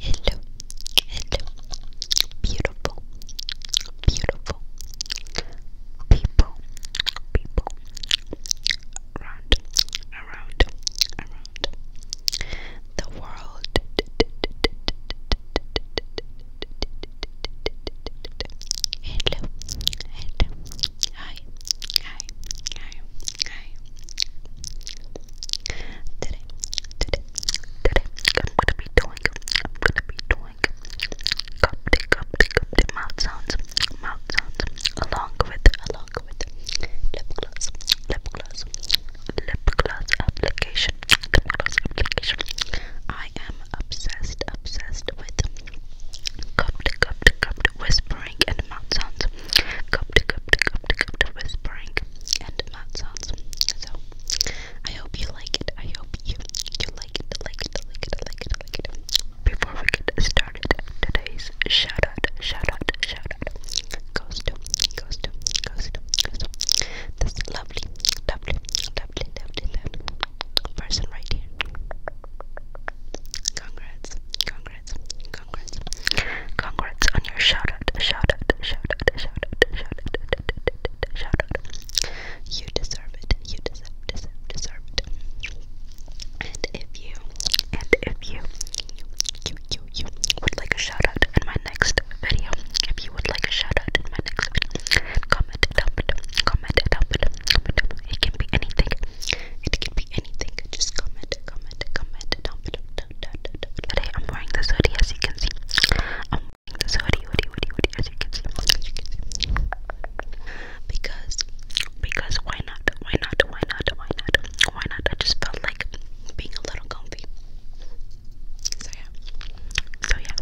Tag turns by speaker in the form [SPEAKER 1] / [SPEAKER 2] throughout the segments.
[SPEAKER 1] Hello, hello, beautiful, beautiful people, people around, around, around the world. Hello, hello, hi, hi, hi. Today, today, today, I'm gonna be doing, I'm gonna be doing coptic, coptic, coptic mouth sounds, mouth sounds, along with, along with lip gloss, lip gloss, lip gloss application, lip gloss application. I am obsessed, obsessed with coptic, coptic, coptic whispering and mouth sounds cupped, cupped, cupped, cupped whispering and mouth So I hope you like it. I hope you you like it, like it, like it, like it, like it. Before we get started, today's shout out, shout out, shout out goes to, goes to, goes to, goes to this lovely, lovely, lovely, lovely person right here. Congrats, congrats. Congrats, congrats, congrats on your shout out, shout out, shout out, shout out, shout out, shout out. You deserve it. You deserve, deserve, deserve it. And if you, and if you, you, you, you, you would like a shout out in my next video, if you would like a shout out in my next video, comment down below. Comment down below. Comment down below. It can be anything. It can be anything. Just comment, comment, comment down below. I'm wearing this hoodie as you can see. I'm wearing this hoodie, hoodie, hoodie, hoodie As you can see. Because, because why not? Why not? Why not? Why not? Why not? I just felt like being a little comfy. So yeah. So yeah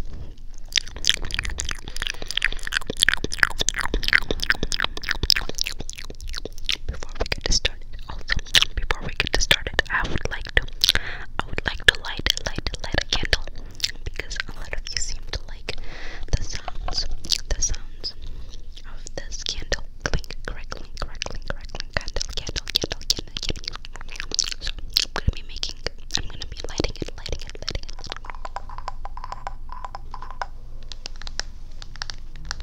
[SPEAKER 1] before we get started, also before we get started, I would like to, I would like to light, light, light a candle because a lot of you seem to like the sounds, the sounds of this candle, clink, crackling, crackling, crackling, candle, candle, candle, candle, candle. So I'm gonna be making, I'm gonna be lighting it, lighting it, lighting it.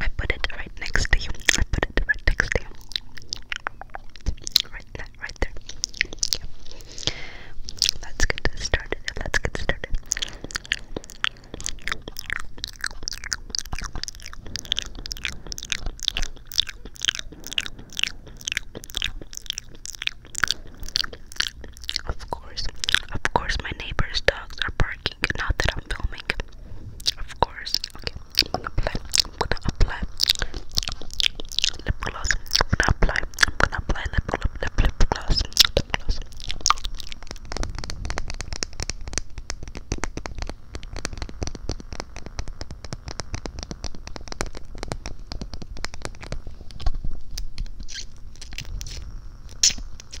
[SPEAKER 1] I put it right next to you. I put it right next to you. Right there, right there. Let's get started. Let's get started. Of course, of course, my neighbor's dogs are barking. Not that I'm I'm filming. Of course. Okay. I'm gonna apply. I'm gonna apply lip gloss. I'm gonna apply. I'm gonna apply lip lip lip lip gloss. Lip gloss.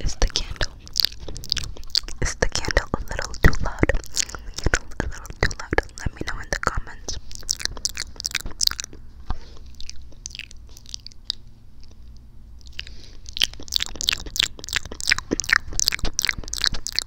[SPEAKER 1] Is the candle is the candle a little too loud? A little too loud. Let me know in the comments.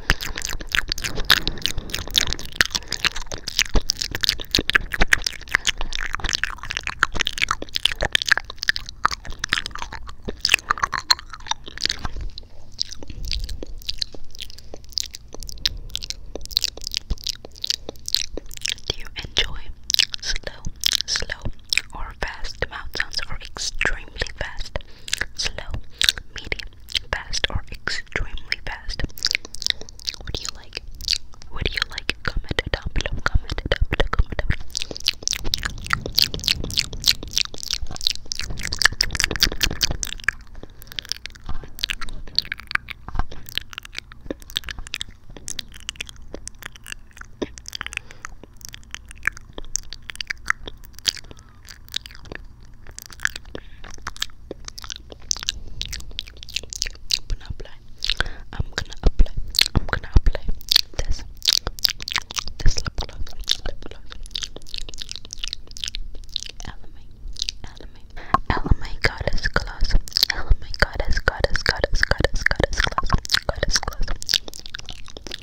[SPEAKER 1] Do you enjoy slow, slow, or fast mouth sounds, or extremely fast? slow, medium, fast, or extremely fast? What do you like? What do you like? Comment down below. Comment down below. Comment down below gonna apply. I'm gonna apply. I'm gonna apply this. This lip gloss. Lip gloss. LMA. LMA. LMA goddess gloss. LMA goddess goddess goddess goddess goddess gloss. Goddess gloss.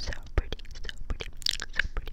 [SPEAKER 2] So pretty, so pretty, so pretty.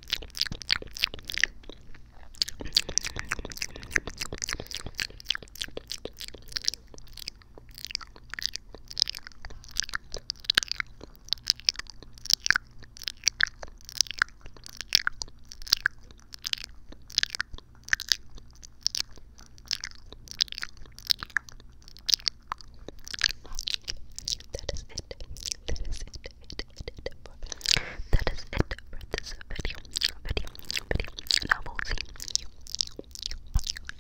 [SPEAKER 2] That is it. That is it. It that is it for this video, video, video. And I will see you,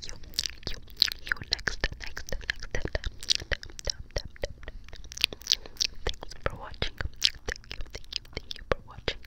[SPEAKER 2] you, you, you next, next, next Thanks for watching. Thank you, thank you, thank you for watching.